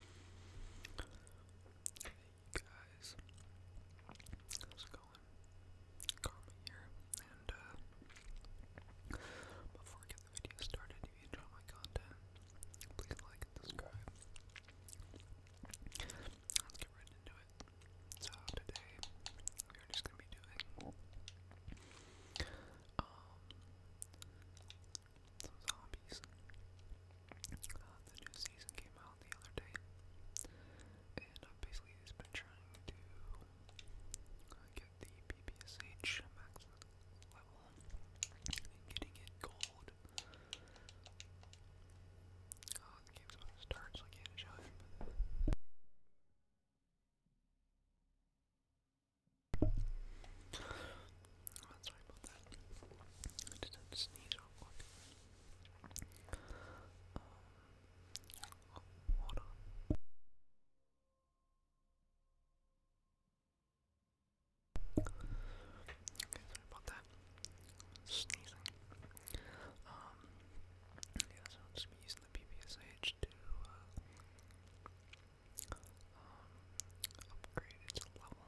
Hey guys, how's it going? Karma here, and uh, before I get the video started, if you enjoy my content, please like and subscribe. Let's get right into it. So today, we're just gonna be doing um, zombies. Uh, the new season came out the other day, and I've basically been trying to uh, get the PPSH max level and getting it gold. Uh, the game's about to start, so I can't show it. Oh, sorry about that. I just had sneeze real quick. Um, on. Okay, sorry about that. Sneezing. Um, yeah, so I'll using the PPSH to, uh, upgrade its level.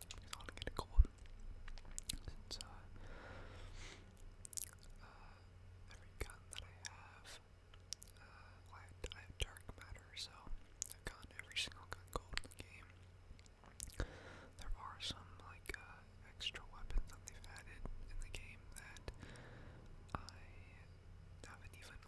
Because I want to gold. Since, every gun that I have, I, have, dark matter, so I've gotten every single gun gold in the game. There are some, like, extra weapons that they've added in the game that I haven't even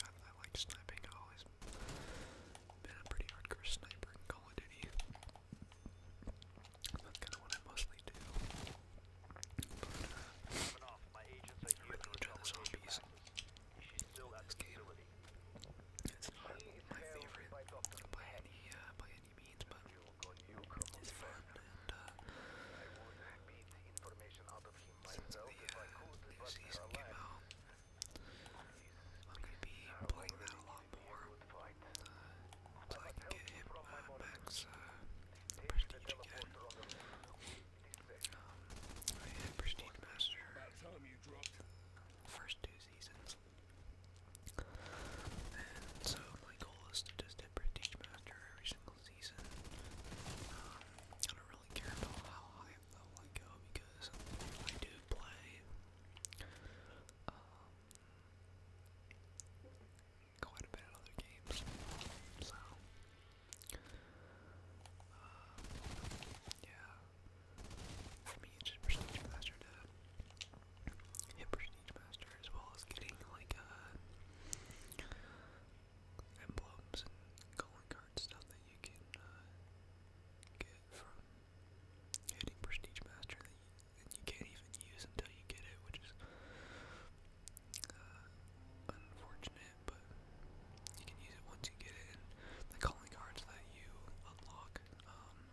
I like sniping. I've always been a pretty hardcore sniper in Call of Duty. That's kind of what I mostly do. But, uh, I'm the zombies. This it's not my favorite by any, uh, by any means, but it's fun and, uh, since the uh, new season came I'm gonna be playing that a lot more uh, so I can get him uh, max prestige again. I had prestige master first two seasons. And so my goal is to just hit prestige master every single season. Um, I don't really care about how high they'll go because I do play um, quite a bit other games. So uh, yeah. For me Prestige Master to hit Prestige Master as well as getting like a uh, emblems and calling card stuff that you can uh, get from hitting Prestige Master that you, can't even use until you get it, which is uh, unfortunate, but you can use it once you get it, and the calling cards that you unlock, um,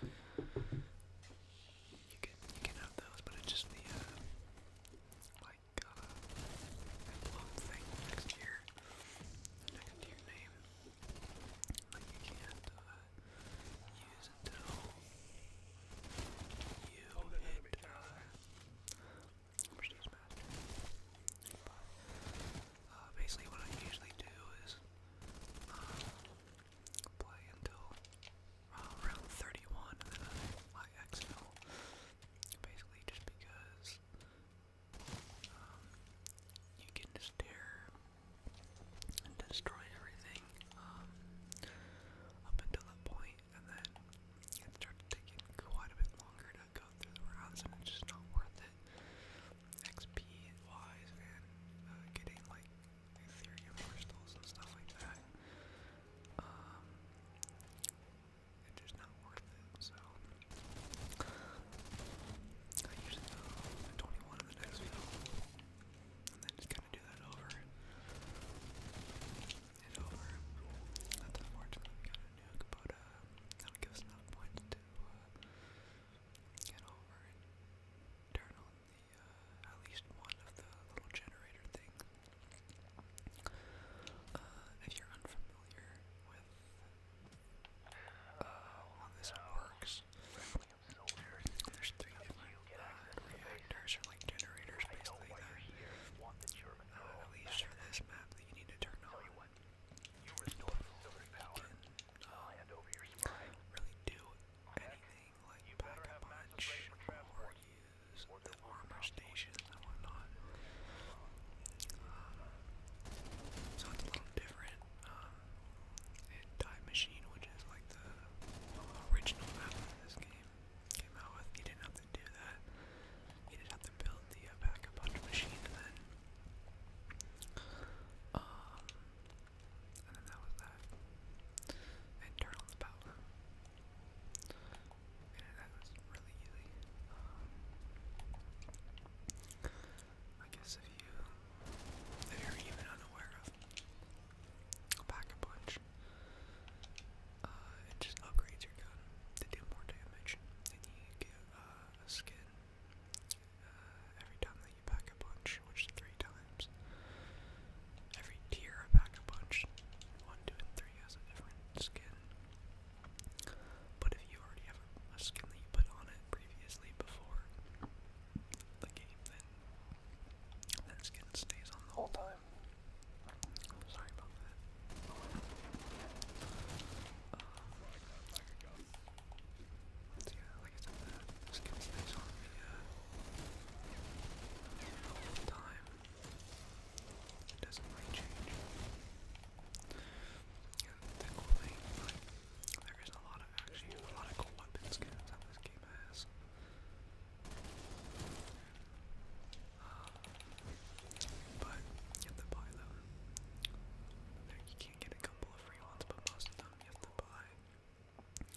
you can, you can have those, but it's just the, uh, got thing next year, next to name, but you can't use until you hit basically, what I usually do is play until uh, 31, and then I, I Basically, just because um, you can just tear and destroy everything um, up until that point, and then it starts taking quite a bit longer to go through the rounds, and it's just not worth it. XP wise, and uh, getting like Ethereum crystals and stuff like that. Um, it's just not worth it. So I usually go 21 in the next film, and then just kind of do that over and over. That's unfortunately kind of nuke, but uh, that'll give points to uh, get over and turn on the uh, at least one of the little generator things. Uh, if you're unfamiliar with uh, well, this works. There's three like generators basically at least for this map that you need to turn on. You can uh, really do anything like pack a use the armor station reactions um, so it's a little different. Um, Time Machine, which is like the original map this game came out with, you didn't have to do that. You didn't have to build the uh, backup machine and then. Um, and then that was that. And turn Man, um, I guess if you, if you're even unaware of, go a bunch. it uh, just upgrades your gun to do more damage, and you get uh, a skin uh, every time that you pack a punch, which three times. Every tier I pack a punch, one, two, and three has a different skin. But if you already have a skin that you put on it previously before the game, then that skin stays on the whole time. Sorry about that. Um, yeah, like I the skin stays on uh, the whole time. It doesn't change. And the cool thing, there is a lot of actually a lot of cool weapon skins that this game has. but you can't get a couple of free ones, but most of them you have to buy.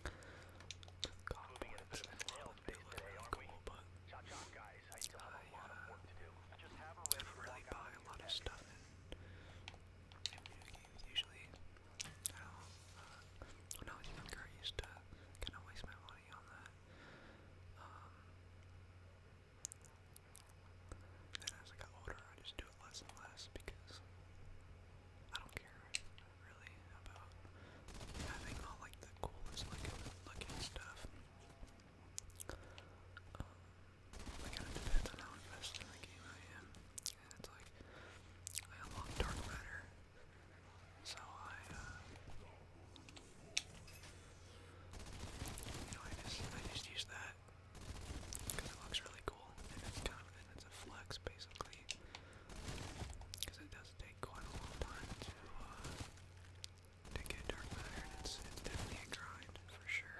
God, and all of them cool, but I still just have a ready really buy a lot of stuff usually. Uh, when I was younger, I used to kind of waste my money on that. then um, as I got older, I just do it less and less because I don't care really about having all like the coolest looking, stuff. Um, like, kind of depend on how invested in the game I am. And it's like, I unlocked Dark Matter, so I, uh, you I just use that because it looks really cool and it's kind of, and it's a flex basically because it does take quite a long time to, uh, to get Dark Matter, and it's, definitely a grind, for sure.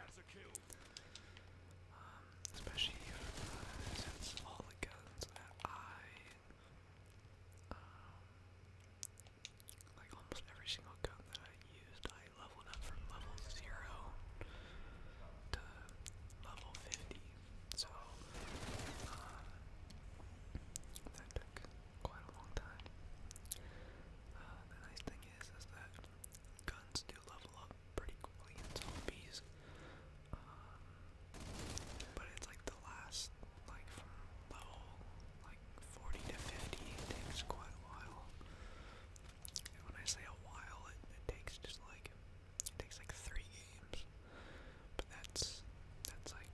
Um, especially uh, since all the guns that I, um, like almost every single gun that I used, I leveled up from level 0 to level 50, so, uh, that took quite a long time. Uh, uh, the nice thing is, is that guns do level up pretty quickly in zombies. Um, but it's like the last, like from level like 40 to 50, it takes quite a while. And when I say a while, it, it takes just like, it takes like three games. But that's, that's like,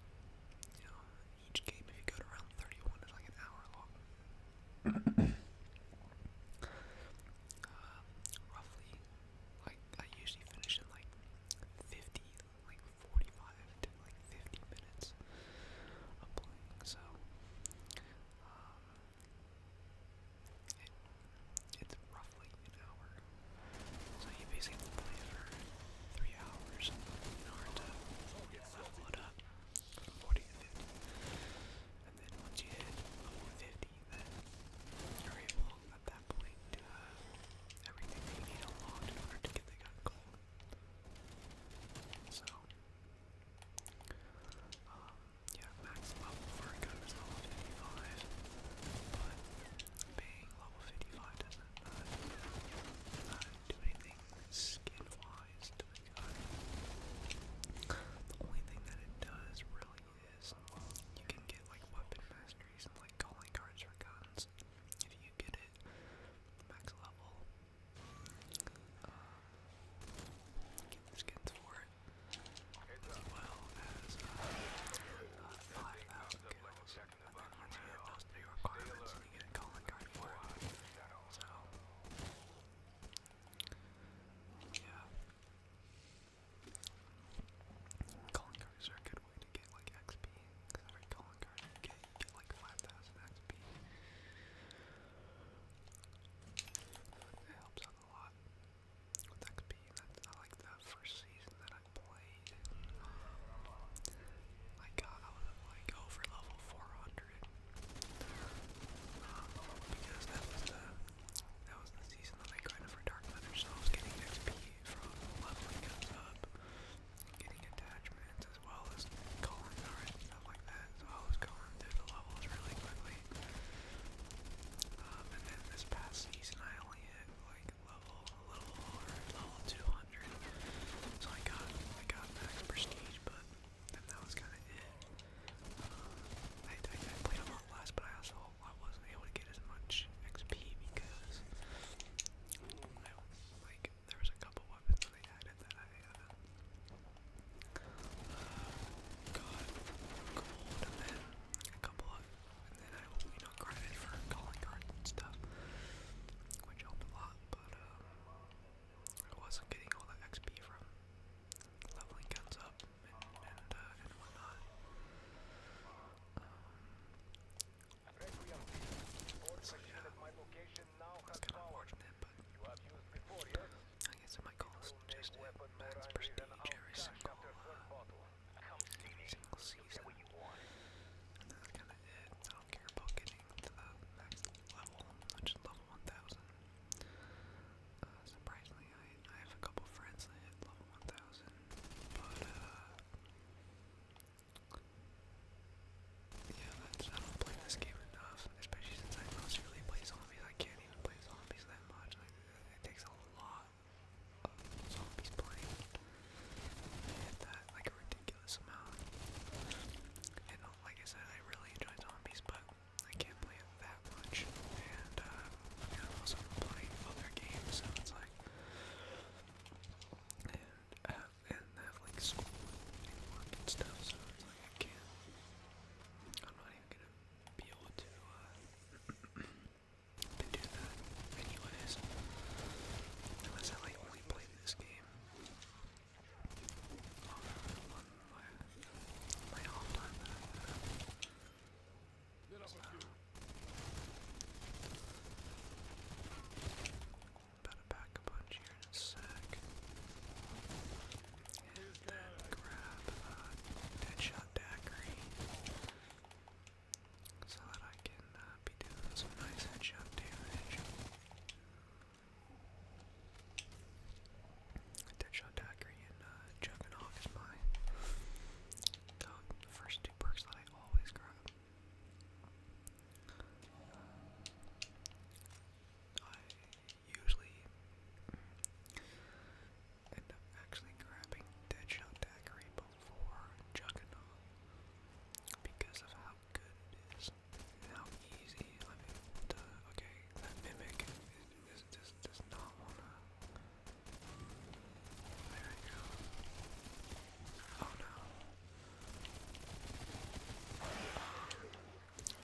you know, each game, if you go to around 31, is like an hour long. Uh, roughly, like, I usually finish in like 50, like 45 to like 50 minutes of playing, so, um, it's roughly an hour. So you basically play for three hours in order to level it up from 40 to 50. And then once you hit level 50, then you're able at that point to have everything that you need unlocked in order to get the gun gold. So, um, yeah, max level for a gun is level 55, but being level 55 doesn't uh, uh, do anything skin-wise to the only thing that it does really is you can get like weapon masteries and like calling cards for guns if you get it max level. Um, get the skins for it as well as uh, uh, five thousand And then once you hit those requirements, you get a calling card for it. Yeah. Calling cards are a good way to get like XP. Because every calling card you get, you get like 5,000 XP. It helps out a lot with XP. That's, I like that first season that I played. Um, I got, I was like over level 400. Um, because that was the that was the season that I kind of for Dark Matter, I was getting XP from leveling us up, getting attachments as well as calling cards stuff like that. So I was going through the levels really quickly. and then this past season I only hit like level a little or level 200. So I got I got max prestige, but and that was kind of it. I, played a lot less, but I also I wasn't able to get as much XP because I, like there was a couple weapons that added that I uh, uh, got gold and then a couple of and then I you know credit for calling cards and stuff, which helped a lot. But um, Oh, I wasn't getting all the XP from leveling guns up and and, uh, and whatnot. Um, so yeah, that's kind of but I guess it might cost just it every single, every uh, single season. And kind of it. I don't getting to the next level, which level 1000. Uh, surprisingly, I, I have a couple friends that hit level 1000, but, uh, yeah, that's, I don't play this game enough, especially since I mostly really play zombies. I can't even play zombies that much. Like, it takes a lot of zombies playing. I hit that, like, a ridiculous amount. And like I said, I really enjoy zombies, but I can't play it that much. And uh, I'm also playing other games, so it's like, and uh, and I have like school and work and stuff, so it's like I can't. I'm not even gonna be able to uh, do that, anyways. Unless I like only play this game. My all time so, Better back a bunch here in a sec. And then grab uh, Deadshot Daiquiri so that I can uh, be doing some nice headshot damage. Deadshot Dagger and uh, Juggernaut is my uh, the first two perks that I always grab. I usually end up actually grabbing Deadshot Daiquiri before Juggernaut because of how good it is. How easy? okay, that mimic is does not wanna. There we go. Oh no.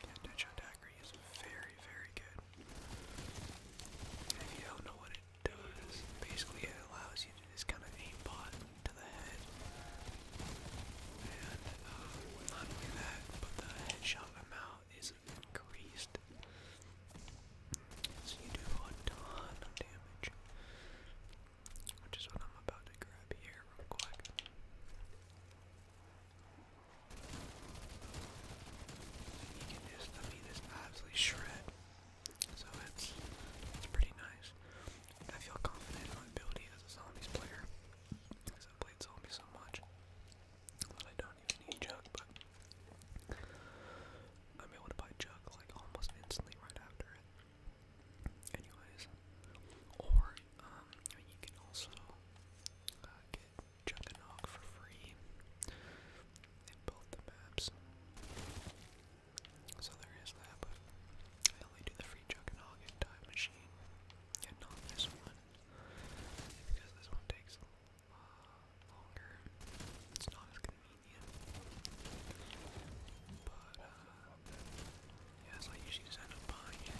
Yeah, Deadshot Dagger is very, very good. if you don't know what it does, basically it allows you to just kind of aimbot to the head not only that, but the headshot amount is increased. So you do a ton of damage. Which is what I'm about to grab here real quick. You can just, I this absolutely shred. So it's, it's pretty nice. I feel confident in my ability as a zombies player because I played so much that I don't even need jug, but I'm able to buy jug like almost instantly right after it. Anyways, or um, you can also uh, get Juggernog for free in both the maps. So there is that, I only do the every Juggernaut and Time Machine, and not this one, because this one takes uh, longer. It's not as convenient. But uh, yeah, I usually just end up buying it.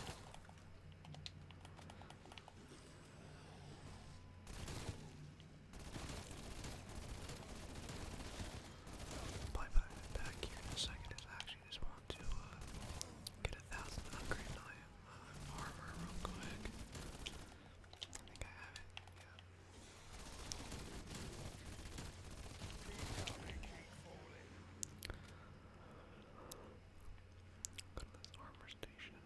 back here in a second actually just want to uh, get a thousand upgrade on uh, armor real quick. I think I have it. Yeah. Go to this armor station. And,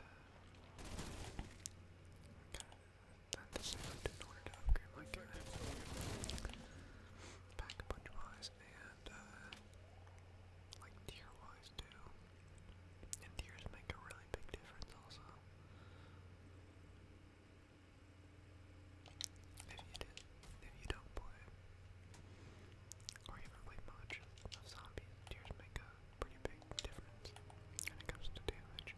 uh, That's the same upgrade pack punch wise and uh, like tier wise too. And tiers make a really big difference also. If you did, if you don't play or even play much zombies, tears make a pretty big difference when it comes to damage.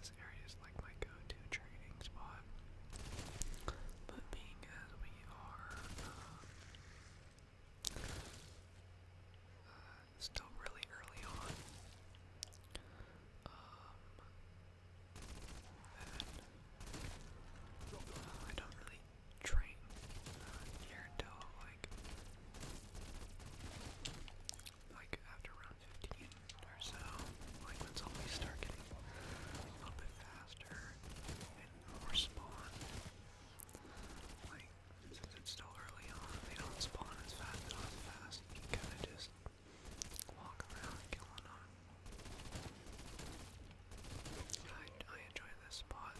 This area is like my go-to training spot. But being as we are um, uh, still really early on, um, uh, I don't really train uh, here until like like after round 15 or so, like when zombies start getting a little bit faster and more spawn. Like, since it's still early on, they don't spawn as fast, as fast, you can kinda just walk around killing them. I, I enjoy this spot,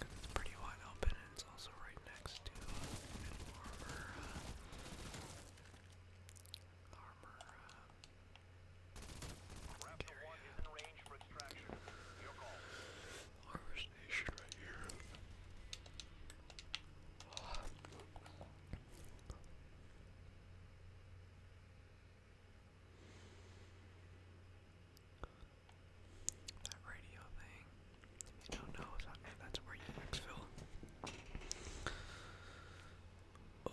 because it's pretty wide open and it's also right next to uh, armor, uh, uh, Carrier. Armor station right here. That radio thing, if you don't know, that's where you exfil. Oh.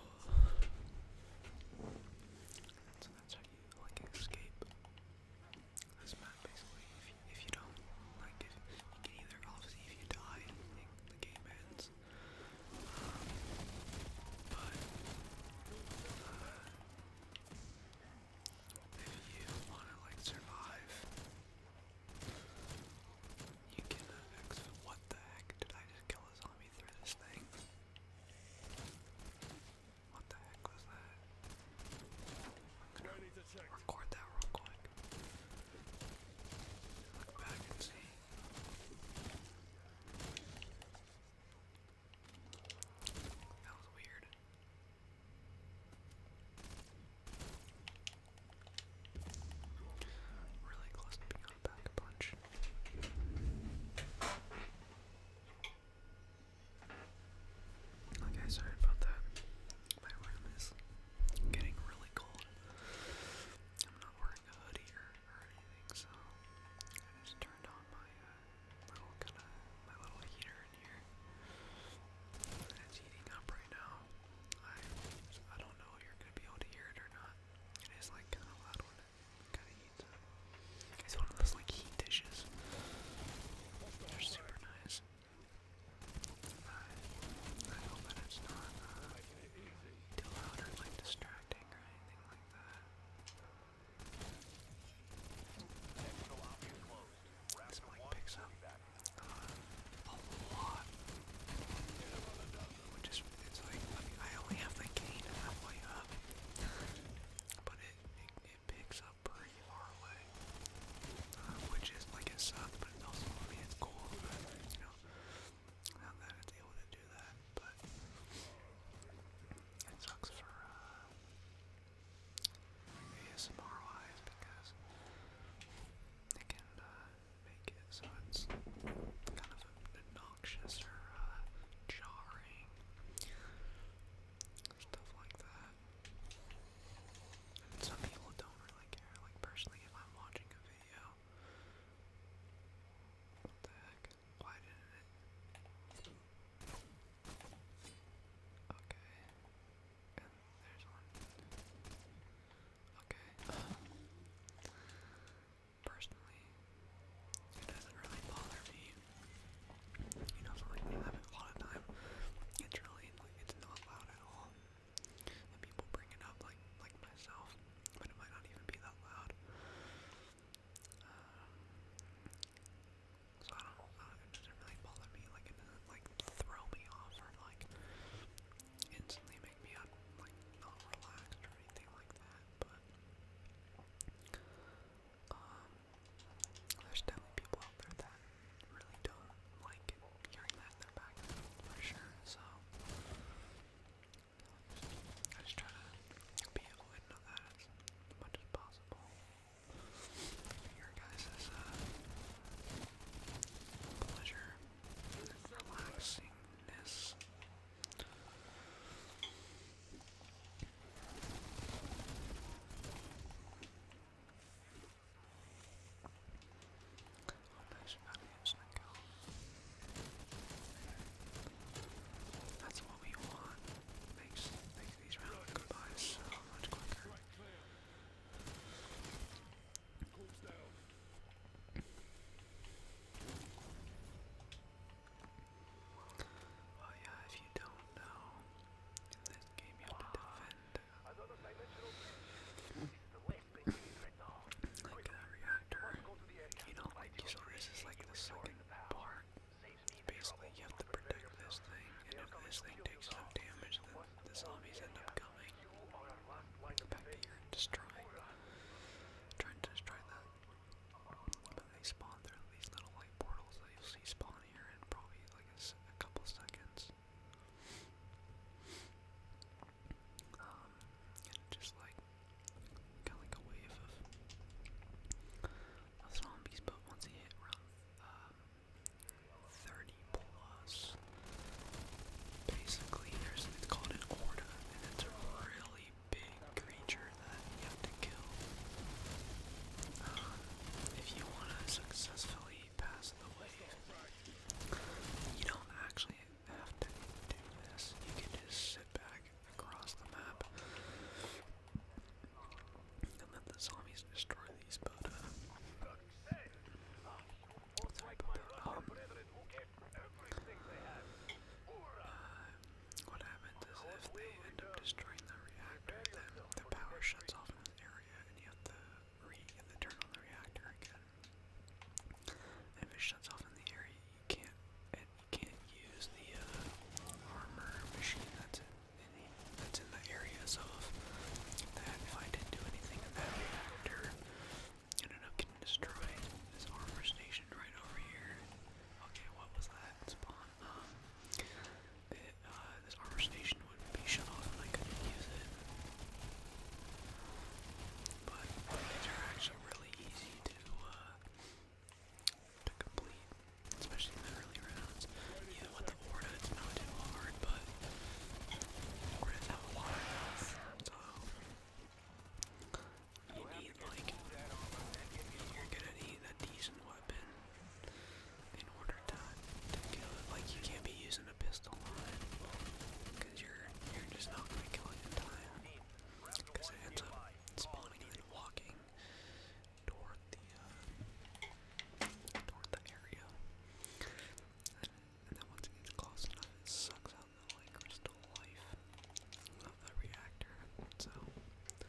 So that's how you like escape this map basically. If you, don't like if you can either obviously if you die the game ends. but if you wanna like survive you can what the heck did I just kill what the heck was that? I'm gonna record that real quick. Look back and see. That was weird. Okay, sorry about that. My room is getting really cold. I'm not wearing a hoodie or, anything, so I just turned on my uh, little kind of my little heater in here. it's heating up right now. I I don't know if you're gonna be able to hear it or not. It is like kind of loud when it kind of heats up. It's one of those like heat dishes. They're super nice. I, hope it's not uh, too loud or like distracting or anything like that. This mic picks up uh, a lot which is it's like I only have the gain halfway up, but it it, picks up pretty far away, uh, which is like it sucks, but it's also I mean it's cool, but, you know, not that it's able to do that, but it sucks for. Uh, ASMR wise because it can uh, make it so it's kind of obnoxious or uh, jarring, stuff like that. some people don't really care. Like personally, if I'm watching a video, what the heck? Why did it? Okay. And there's one. Okay personally, it doesn't really bother me. You know, for like having a lot of time, it's really it's not loud at all. And people bring it up like like myself, but it might not even be that loud. Uh, so I don't, I don't, doesn't really bother me. Like it doesn't like throw me off or like instantly make me like not relaxed or anything like that, but um, there's definitely people out there that really don't like hearing that in their background for sure, so I just try to be avoidant of that as much as possible. Your guys' uh, pleasure, relaxingness, nice values, That's what we want. Makes, makes these rounds go so much quicker. Well, oh, yeah, if you don't know, in this game you have to defend. like that reactor, you do like use a like the second part. Basically, you have to protect this thing, and if this thing takes enough damage, then the zombies end up coming back here and destroying, trying to destroy that. But they spawn through these little light portals that you'll see spawn here in probably like a, a couple seconds. Um, and just like, kind of like a wave of, of zombies, but once they hit around um, 30 plus, basically there's it's called an order, and it's a really big creature that you have to kill. Um, if you want to successfully pass the wave, you don't actually have to do this. You can just sit back across the map and let the zombies destroy these, uh, um, uh, what happens is if they end up destroying the reactor, then the power shuts off in this area, and you have to re you have turn on the reactor again. And if it shuts off in the area, you can't and you can't use the uh, armor machine that's in that's in the area. So that if I didn't do anything in that reactor, ended up getting destroyed. This armor station right over here. Okay, what was that spawn? Um, uh, this armor station would be shut off and I couldn't use it. But these are actually really easy to, uh, to complete, especially in the early rounds. Yeah, with the Orda, it's not too hard, but Orda's have a lot of health, so you need like you're gonna need a decent weapon in order to, it. Like you can't be using a pistol on Cause you're you're just not gonna kill it in time. Cause it ends up spawning and walking toward the toward the area. And, then once it gets close enough sucks on the like crystal life of the reactor. So and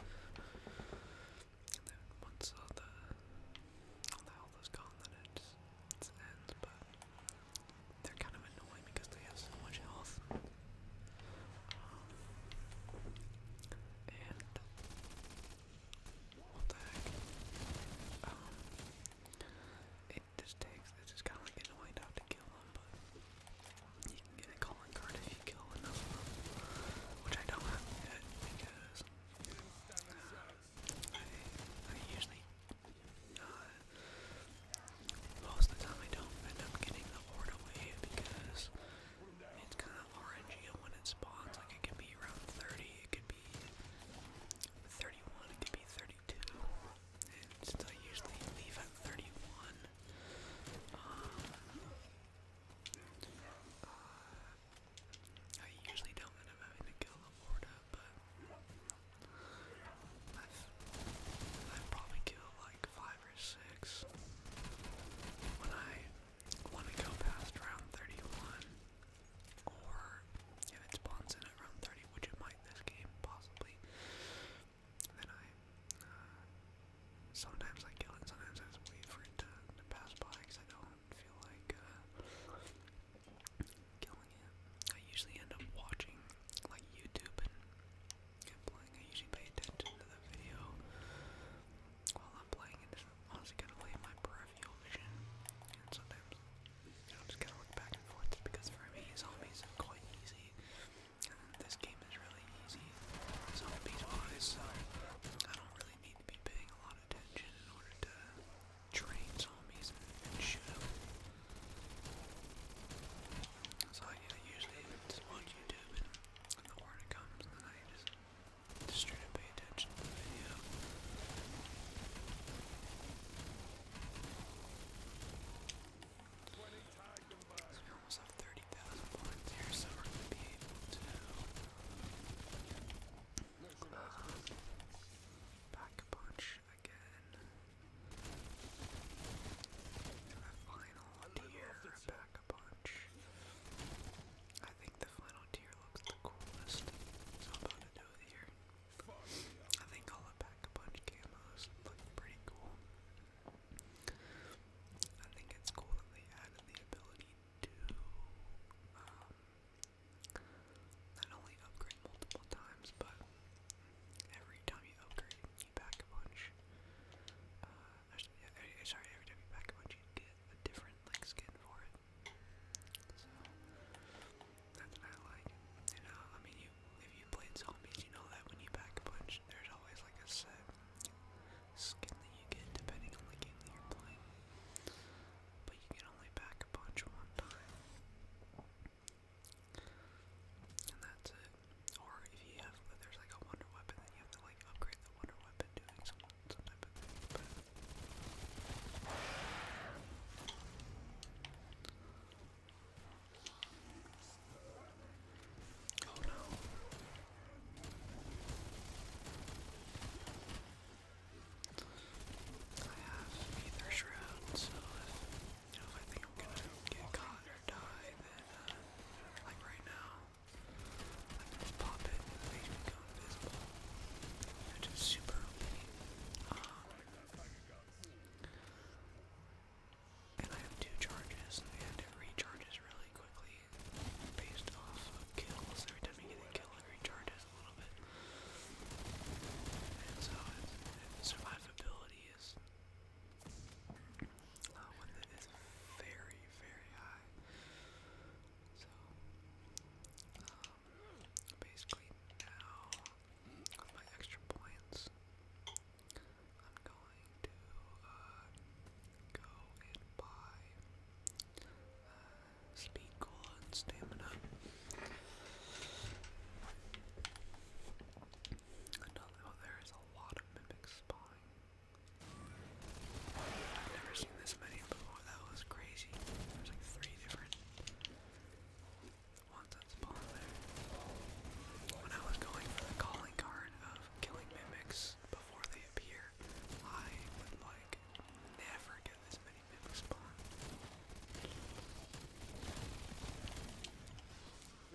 then once all the all the health is gone then it it's ends, but they're kind of annoying because they have so much health. Um, and what the heck? Um, it this takes. This is kind of annoying to kill them, but you can get a calling card if you kill enough of them, which I don't have yet because uh, I, usually, uh, most of the time I don't end up getting the horde away because it's kind of orangey when it spawns, like it can be around 30, it could be 31, it could be 32, 32, since I usually leave at 31, uh, I usually don't end up having to kill a Horda, but I've, I've probably killed like 5 or 6 when I want to go past round 31, or if it spawns in at round 30, which it might this game possibly, and then I, uh, sometimes I kill it, sometimes I just wait for it to, to pass by because I don't feel like, uh, killing it. I usually end up watching, like, YouTube and, and playing. I usually pay attention to the video while I'm playing. It's honestly kind of late my peripheral vision, and sometimes I'm just gonna look back and forth because for me zombies are quite easy. this game is really easy zombies wise, so I don't really need to be paying a lot of attention in order to train zombies and, shoot them. So yeah, usually just watch YouTube and, and the order comes and then I just just straight up pay attention to the video we almost have 30,000 points here, so we're going to be able to um, a bunch again. And the final tier, back a bunch. I think the final tier looks the coolest, so i about to do it I think I'll pack a bunch of camos look pretty cool. I think it's cool that they added the ability to um, not only upgrade multiple times, but every time you upgrade, you back a bunch. Uh, eh, eh, sorry, every time you back a bunch, you get a different like skin for it. That's what I like. You know, I mean, you if you played zombies, you know that when you back punch, there's always like a set skin that you get depending on the game that you're playing. But you can only back punch one time. And that's it. Or if you have, if there's like a wonder weapon, then you have to like upgrade the wonder weapon doing some, some type of thing. But Oh no. I have Aether Shroud, so if, you know, if I think I'm gonna get caught or die, then, uh, like right now, I can just pop it and make me go invisible. Which is super OP. Um, and I have two charges, and we have to recharge this really quickly based off of kills. Every time you get a kill, it recharges a little bit. And so survivability is uh, with very, very high. So um, basically now my extra points. I'm going to uh, go and buy uh, speed cola and stamina. Oh, there is a lot of mimic spawning. I've never seen this many before. That was crazy. There's like three different want that When I was going for the calling card of killing mimics before they appear, I like never get this many mimics spawn.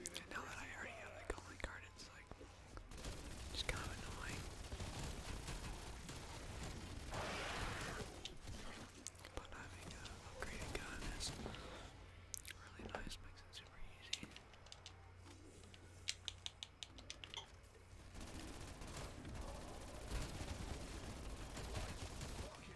And now that I already have the calling card, it's like just kind of annoying. But having upgraded gun really nice, makes it super easy. Okay,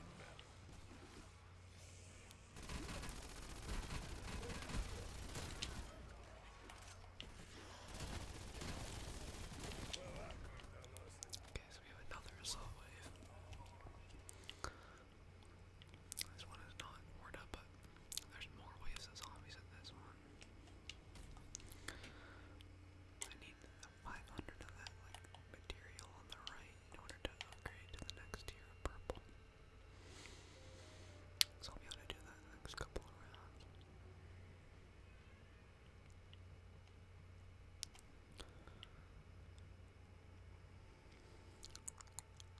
so we have another assault wave. This one is not word but there's more waves of zombies in this one. I need 500 of that like material on the right in order to upgrade to the next tier of purple. So I'll be able to do that in the next couple of rounds.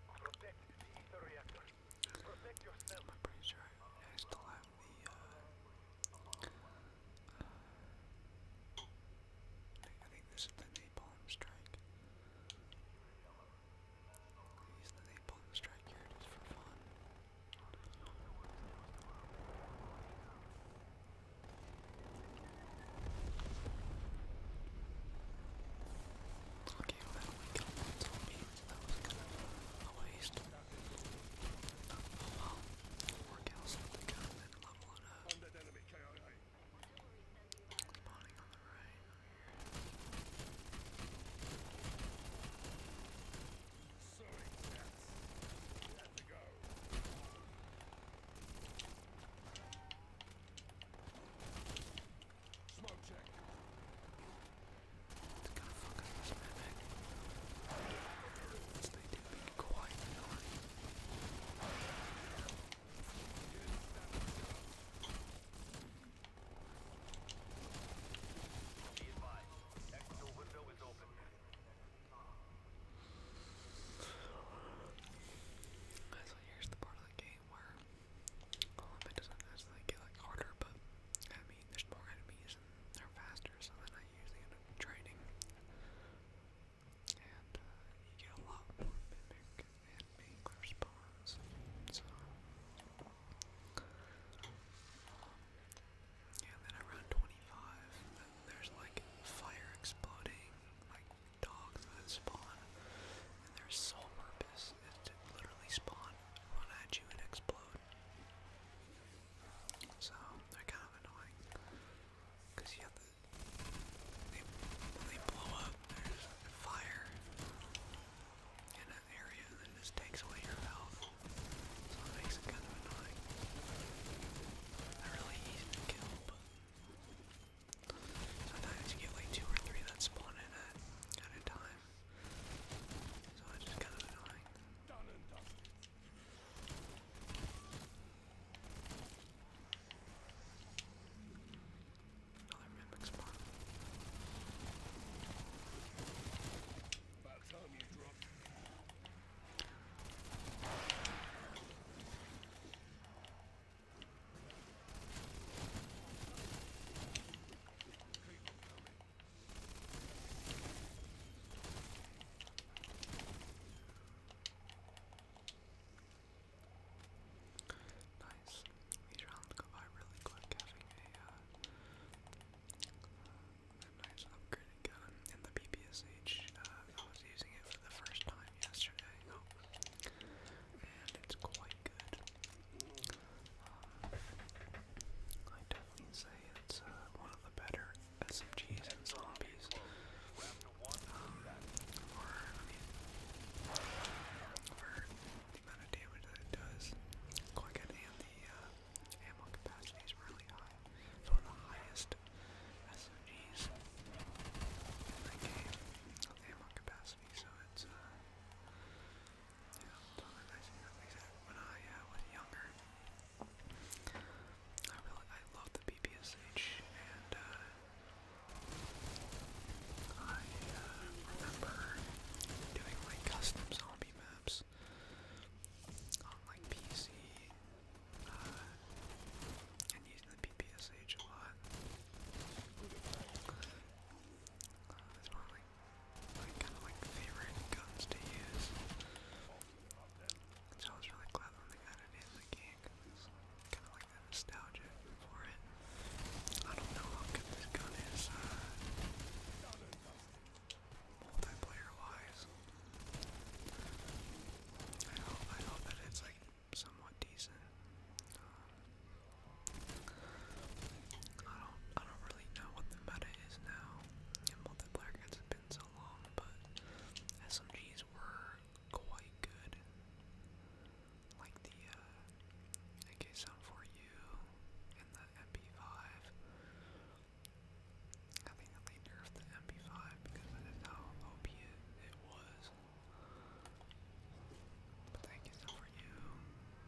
Protect the ether reactor. Protect yourself. I'm pretty sure I still have the uh, uh I think this is the napalm strike. Use the napalm strike here just for fun. Okay, well, we killed that zombie. That was kind of a waste. Oh well. Workouts with the gun and leveling up. Spawning on the right. Sorry, cats. Let's go. Smoke check. It's gonna fucking rush my neck. Let's need to be quiet annoying. Be advised, external window is open. So here's the part game where it doesn't necessarily get like harder, but I mean there's more enemies and they're faster, so then I usually end up training, and uh, you get a lot more mimic and mangler spawns. So um, and then around 25, there's like fire exploding, like dogs that spawn, and their sole purpose is to literally spawn, run at you, and explode. So they're kind of annoying because you have to. They, they blow up. There's fire in an area, and it just takes away your health. So it makes it kind of annoying. They're really easy to kill, but Sometimes you get like two or three that spawn at, a time. So it's just kind of annoying. Another mimic spawn. Nice. These rounds go by really quick having a, uh, uh, a nice upgraded gun in the PPSH. Uh, I was using it the first time yesterday, oh. and it's quite good. Um, I definitely say it's uh, one of the better SMGs and zombies. Um, for the amount of damage that it does, quite good, and the uh, ammo capacity is really high. It's one of the highest SMGs in the game so it's, uh, yeah, when I uh, was younger, I really I loved the BPSH, and uh, I uh, remember doing like custom zombie maps on like PC and using the PPSH a lot. Uh, one of my kind of like favorite guns to use. So I was really glad when they added it in the game because it's kind of like that nostalgia for it. I don't know how good this gun is uh, multiplayer wise. I hope, I hope that it's like somewhat decent. Um, I don't I don't really know what the meta is now multiplayer because it been so long, but SMGs were quite good. Like the uh, ak 74 and the MP5. I think they nerfed the MP5 because that is how OP it was thank you so for you.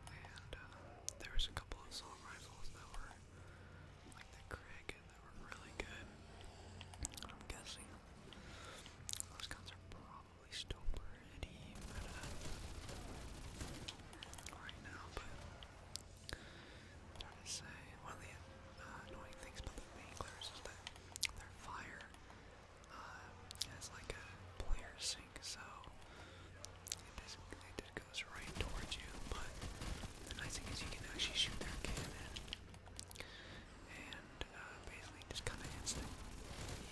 And uh, there was a couple of assault that were like the Krieg that were really good. I'm guessing those guns are probably still pretty uh, right now, but trying to say one of the uh, annoying things about the Manglers is that their fire um, like a player sync, so it, is, it goes right towards you. But the nice thing is you can actually shoot their cannon, and uh, basically just kind of hits the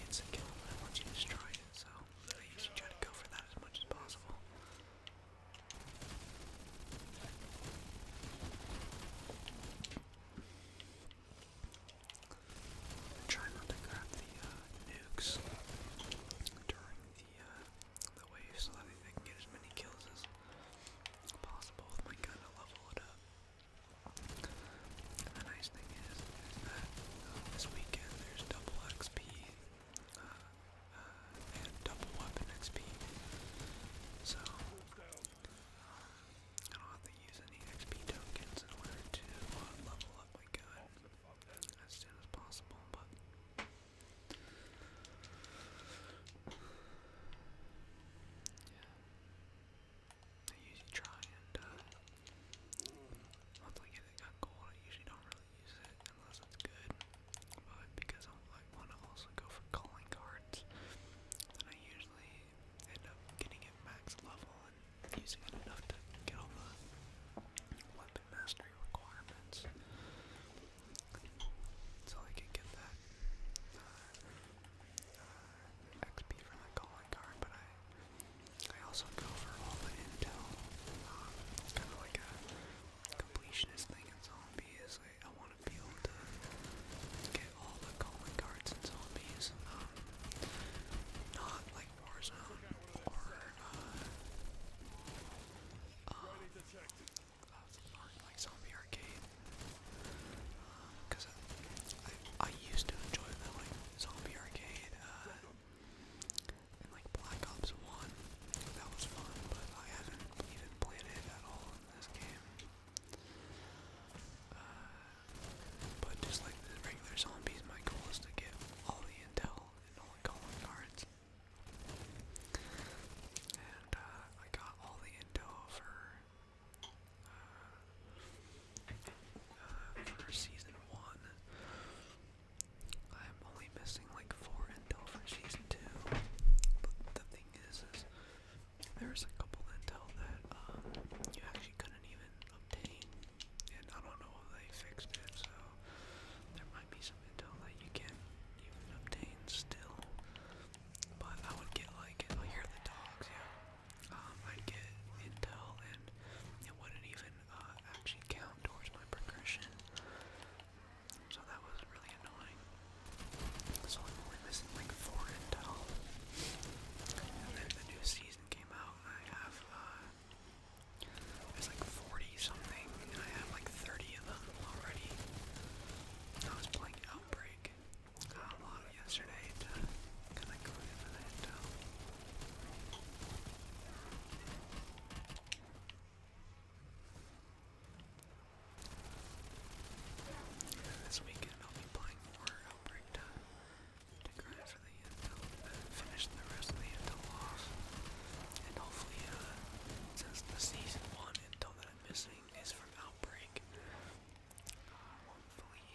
hits the kill and once you destroy it. So I try to go for that as much as possible. Try not to grab the uh, nukes during the uh, the wave so that they can get as many kills as possible with my gun to level it up. the nice thing is, that uh, this weekend there's double XP, and double weapon XP. So I don't have to use any XP tokens in order to level up my gun as soon as possible, but I usually try and once I get it gold I usually don't really use it unless it's good. But because I wanna also go for calling cards, then I usually end up getting it max level and using it enough to get all the weapon mastery requirements. So I can get that uh, uh, XP from the calling card, but I I also go for all the intel. Um, kind of like a completionist thing in zombies. I, want to be able to get all the calling cards and zombies. Um, not like Warzone or uh, um, uh, like Zombie Arcade. Because uh, um, I, I used to enjoy the like Zombie Arcade uh, and like Black Ops One. That was fun, but I haven't even played it at all in this game. Uh, but just like the regular zombies, my goal is to get all the intel and all the calling cards. And uh, I got all the intel for, uh, for season one. I'm only missing like four intel for season two. But the thing is there's a couple intel that um, you actually couldn't even obtain, and I don't know if they fixed it, so there might be some intel that you can even obtain still. But I would get like, I hear the dogs, yeah. Um, I'd get intel, and it wouldn't even uh, actually count towards my progression. So that was really annoying. So I'm only missing like four intel then the new season came out, I have, uh, like 40 something, I have like 30 of them already. I was playing Outbreak a um, lot yesterday to kind of go into that this weekend I'll be playing more Outbreak to grind for the Intel, uh, finish the rest of the Intel off, and hopefully, uh, since the season one Intel that I'm missing is from Outbreak, uh, hopefully,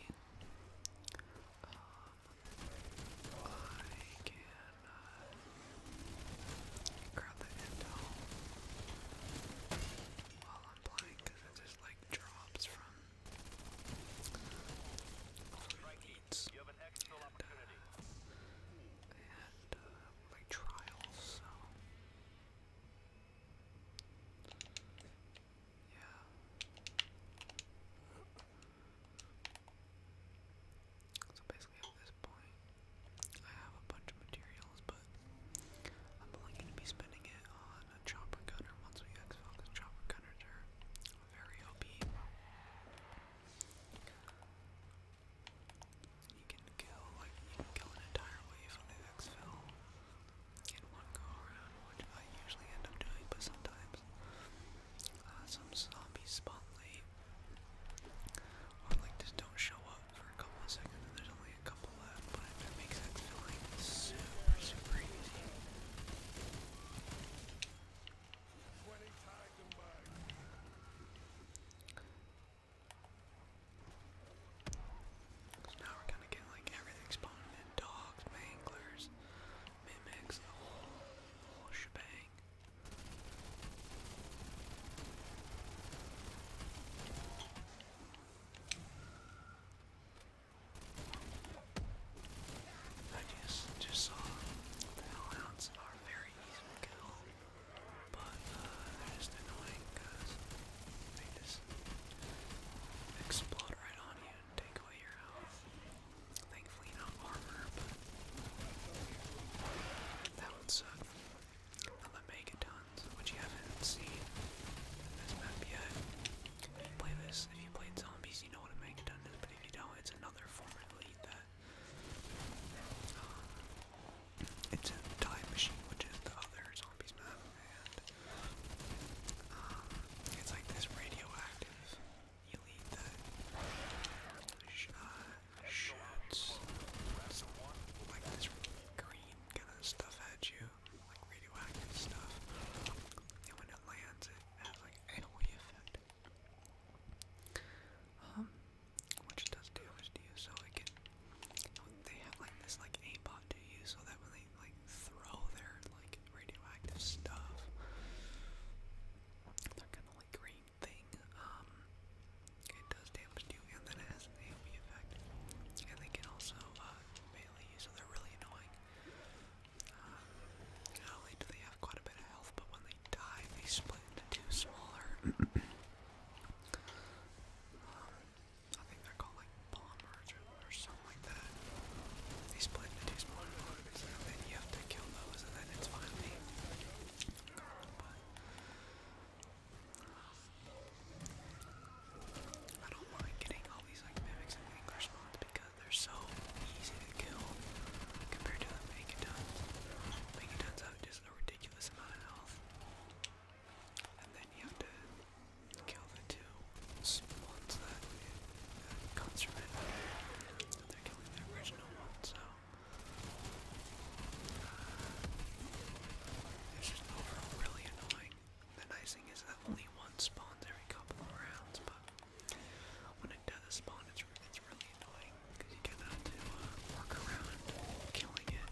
um, I can uh, grab the Intel while I'm playing because it just like drops from needs. Uh, so basically, at this point, I have a bunch of materials, but I'm only going to be spending it on and chopper gunner. Once we exfil the chopper gunners are very OP. You can kill like you can kill an entire wave on the exfil in one go around, which I usually end up doing, but sometimes uh, some zombies spawn late or like just don't show up for a couple seconds and there's only a couple level up, but it makes that feeling super, super easy. So now we're gonna get like everything spawning in dogs, manglers, mimics, the whole, the whole shebang. I just just uh, saw Hellhounds are very easy to kill, but uh, they're just annoying because they just explode right on you and take away your health. Thankfully not armor, but that would suck. And the megatons, which you haven't seen in this map yet. If you play this, if you played zombies, you know what a megalodon is, but if you don't, it's another form of elite that um, it's a time machine, which is the other zombies map, and um, it's like this radioactive elite that uh, shoots like this green kind of stuff at you, like radioactive stuff, and when it lands, it has like AOE effect, um, which does damage to you. So they have like this like aimbot to you, so that when they like throw their like radioactive stuff, they're kind of like green thing. Um, it does damage to you, and then it has AOE effect, and they can also uh, melee so they're really annoying. Uh, not only do they have quite a bit of health, but when they die, they split into two smaller. Um, I think they're called like or, something like that. They split into two smaller bombers, and then you have to kill those, and then finally uh, I don't mind getting all these like mimics and anger spawns because they're so easy to kill compared to the megatons. Megatons have just a ridiculous amount of health. And then you have to kill the two spawns that, that it. they're killing the original one, so uh, it's overall really annoying. The nice thing is that only one spawns every couple of rounds, but when it does spawn, it's, really annoying because you kind of have to uh, around killing it.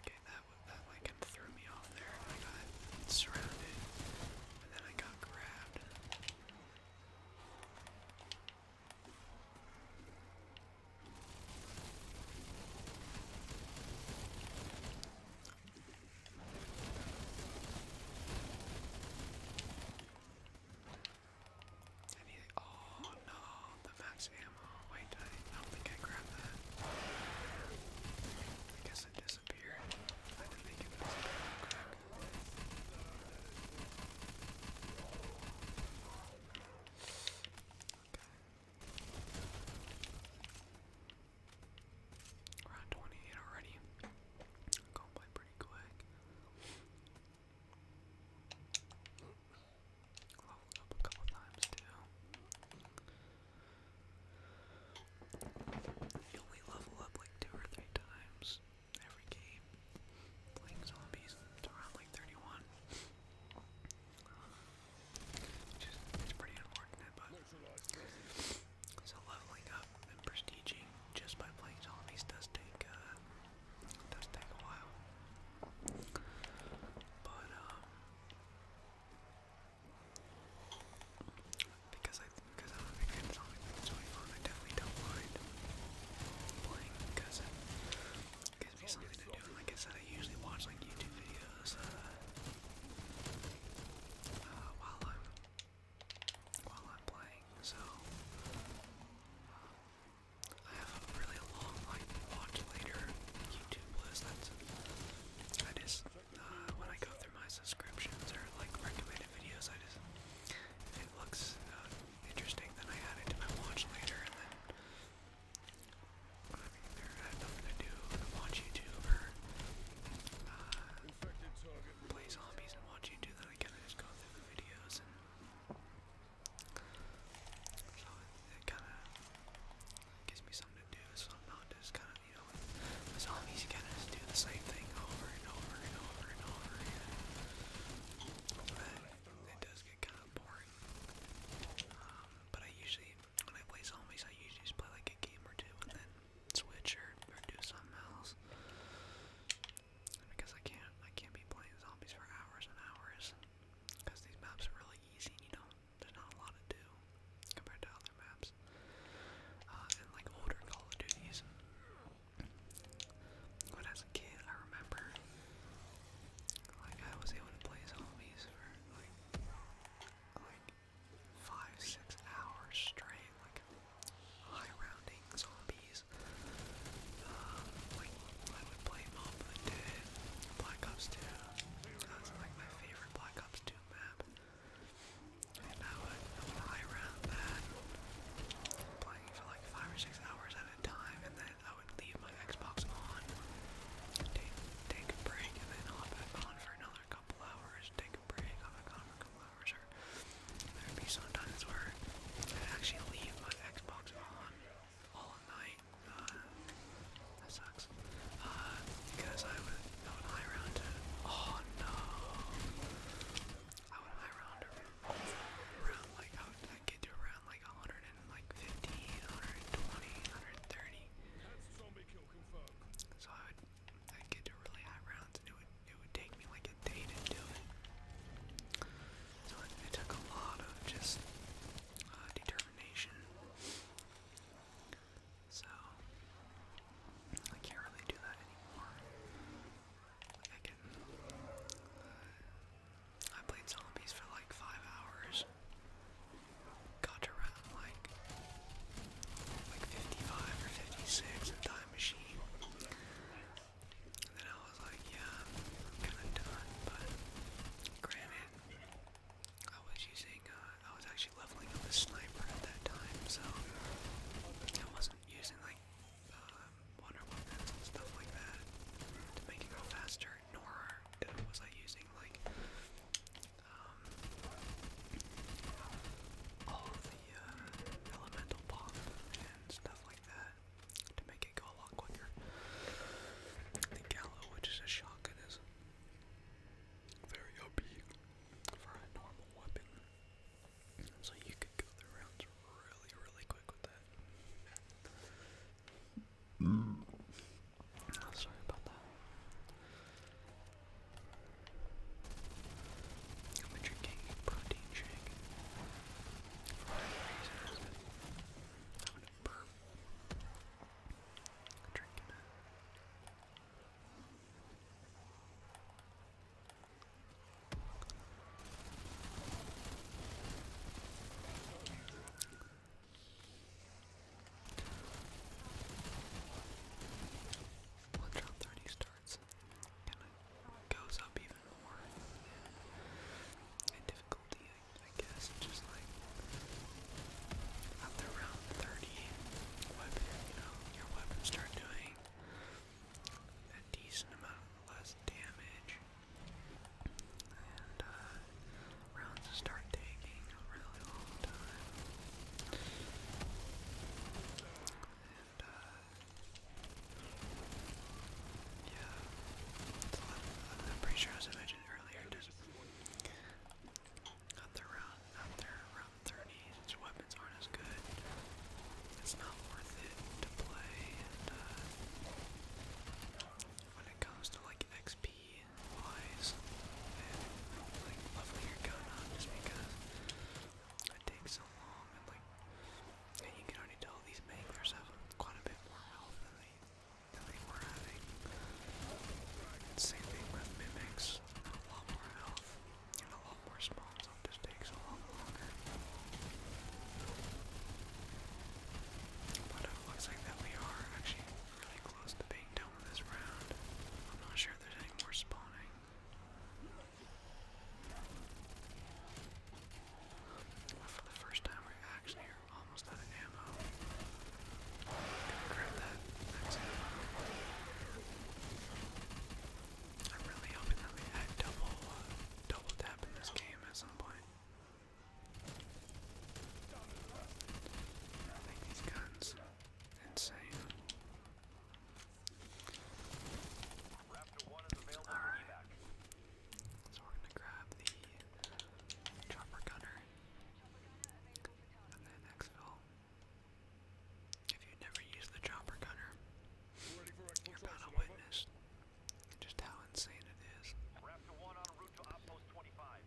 Okay, that that like threw me off there. I got surrounded, and then I got grabbed. Any, oh no, the max ammo. Wait, I don't think I grabbed that. I guess it disappeared. I didn't think it was Okay, we 28 already. Going by pretty quick. Leveled up a couple times too. You only level up like two or three times every game. Playing zombies, it's around like 31 it's pretty unfortunate, but so leveling up and prestiging just by playing zombies does take uh, does take a while. But um, because I because I'm a big fan of I definitely don't mind playing because like I said, I usually watch like YouTube videos uh, uh, while I'm while I'm playing. So uh, I have a really long like watch later YouTube list. That's I just when I go through my subscriptions or like recommended videos, I just if it looks interesting, then I add it to my watch later, and then. I mean, there, I have nothing to do than watch YouTube or uh, play zombies and watch YouTube. Then I kind of just go through the videos and so it, it kind of gives me something to do. So I'm not just kind of you know with zombies, you kind of just do the same thing over and over and over and over again. But it does get kind of boring. Uh, but I usually, when I play zombies, I usually just play like a game or two and then switch or, do something else. Because I can't, I can't be playing zombies for hours and hours. Because these maps are really easy, you know, there's not a lot to do compared to other maps. Uh, and like older Call of Duties. When as a kid, I remember like I was able to play zombies for like like five, six hours straight, like high rounding zombies. Um, like I would play Mob of the Dead, Black Ops 2. That's like my favorite Black Ops 2 map. And I would high round that playing for like five or six hours at a time and then I would leave my Xbox on, take, a break, and then hop back on for another couple hours, take a break, hop back on for a couple hours, or there'd be some where i actually leave my Xbox on all night. Uh, that sucks. Uh, because I would, high round oh no! I would high round round, like, I would i get to a around like 150, 120, 130. So I would I'd get to really high rounds it would it would take me like a day to do it. So it, took a lot of just uh, determination. So I can't really do that anymore. Like I can uh, I played zombies for like five hours. Got around like like 55 or 56 in Time Machine. And then I was like, yeah, kinda done, but granted, I was using, uh, I was actually leveling up a sniper at that time, so I wasn't using like um, uh, wonder weapons stuff like that to make it go faster nor was I using like um, all of the uh, elemental pop and stuff like that to make it go a lot quicker. The Gallo, which is a shotgun, is very OP for a normal weapon. So you could go the rounds really, really quick with that. Oh, sorry about that. I'm drinking a protein shake. For reasons that I'm gonna burp. I'm drinking it round 30 starts, it goes up even more in difficulty, I, guess. Just like after round 30, your weapons start doing a decent amount less damage. Uh, rounds start taking a really long time. Uh, yeah, I'm, pretty sure as I mentioned earlier, just after round, after round 30, since weapons aren't as good, it's not worth it to play. Uh, when it comes to like XP wise and like lovelier going on just because it takes so long and like you can already tell these manglers have quite a bit more health than they than they were having. Same thing with mimics, a lot more health and a lot more spawns, so just takes a lot longer. But it looks like that we are actually really close to being done with this round. I'm not sure if there's any more spawning. for the first time, we actually almost out of ammo. Gonna grab that max ammo. I'm really hoping that we had double, uh, double tap in this game at some point. These guns, insane. All right. So we're gonna grab the chopper gunner and then exfil. If you never used the chopper gunner, you're about to witness just how insane it is.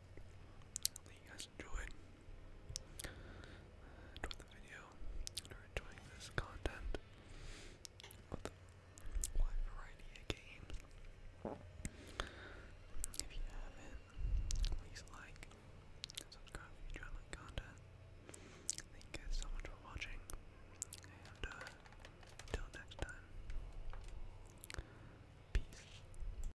Hopefully you guys enjoyed. Uh, the video enjoying this content with a wide variety of games. If you haven't, please like subscribe if you enjoy my content. Thank you guys so much for watching, and until uh, next time, peace.